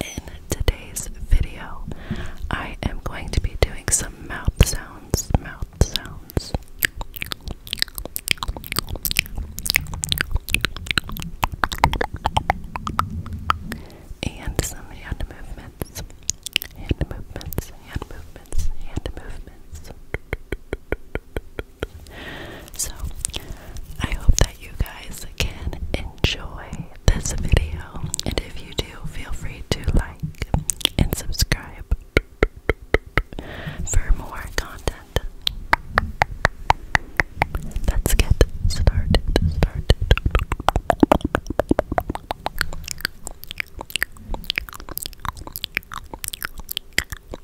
in today's video, I am going to be doing some mouth sounds, mouth sounds. And some hand movements, hand movements, hand movements, hand movements. So, I hope that you guys can enjoy this video. And if you do, feel free to like and subscribe for more content. Let's get started. Started.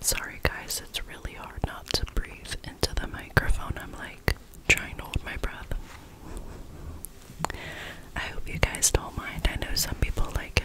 Sorry, guys, it's really hard not to breathe into the microphone. I'm like trying to hold my breath. I hope you guys don't mind. I know some people like it.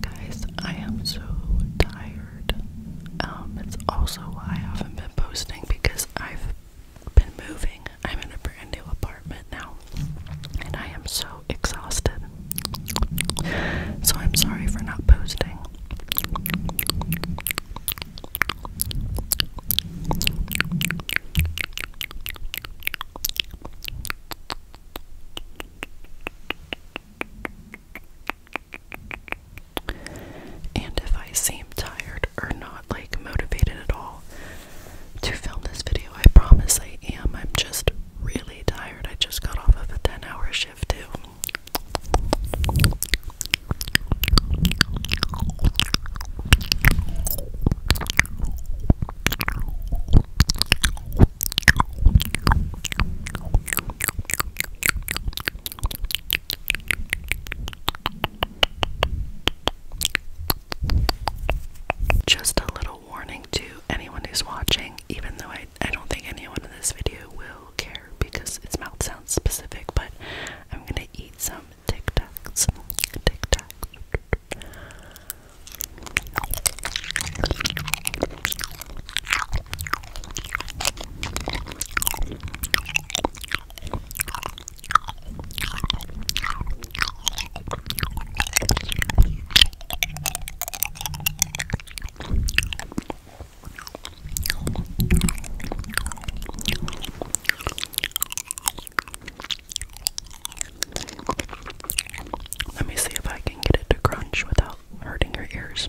Guys, I am so tired. Um, it's also why I haven't been posting because I've been moving. I'm in a brand new apartment now, and I am so exhausted. So I'm sorry for not posting. And if I seem tired or not, like motivated at all to film this video. I promise I am. I'm just really tired. I just got off of a 10 hour shift too. Just a little warning to anyone who's watching, even though I, I don't think anyone in this video will care because it's mouth sounds specific, but I'm gonna eat some tic tacs. Tic tacs. Let me see if I can get it to crunch without hurting your ears.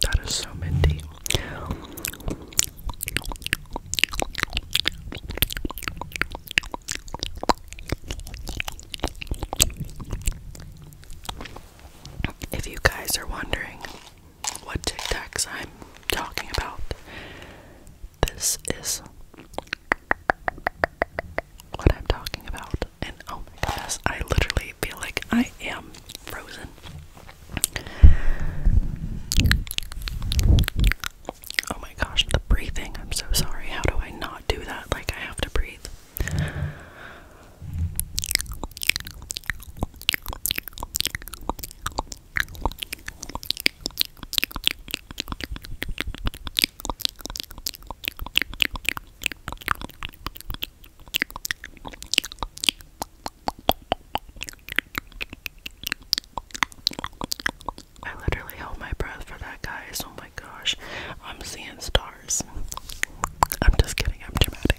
That is so minty. If you guys are wondering what Tic Tacs I'm talking about, this is what I'm talking about. And oh my goodness, I literally feel like I am frozen. Oh my gosh, the breathing. I'm so sorry. How do I not do that? Like, I have to breathe. I literally held my breath for that, guys. Oh my gosh. I'm seeing stars. I'm just kidding. I'm dramatic.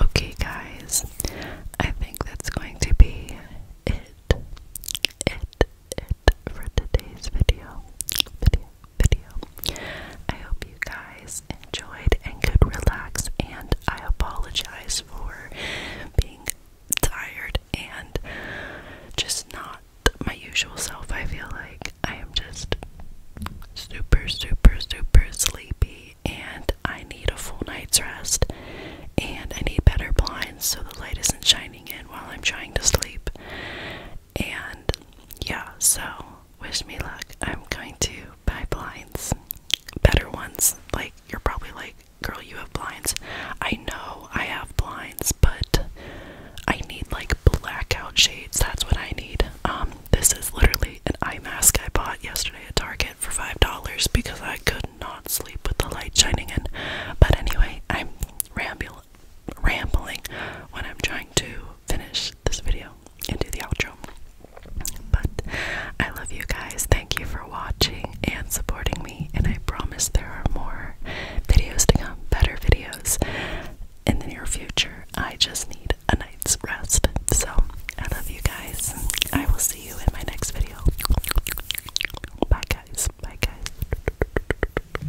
Okay, guys, I think that's going to be it. It. It for today's video. Video video. I hope you guys enjoyed and could relax, and I apologize for being tired and just not my usual self. I feel like I am just super, super, super sleepy, and I need a full night's rest, and I need better blinds so the light isn't shining in while I'm trying to sleep. And yeah, so wish me luck. I'm going to buy blinds, better ones. Like, you're probably like, girl, you have blinds. I know I have blinds, but I need like blackout shades. That's what I need. Um, this is literally an eye mask I bought yesterday at Target for $5 because I could not sleep with the light shining in. But anyway, I'm rambling rambling when I'm trying to finish this video and do the outro. But I love you guys. Thank you for watching and supporting me. And I promise there are more videos to come, better videos in the near future. I just need a night's rest. So I love you guys. I will see you in my next video. Bye, guys. Bye, guys.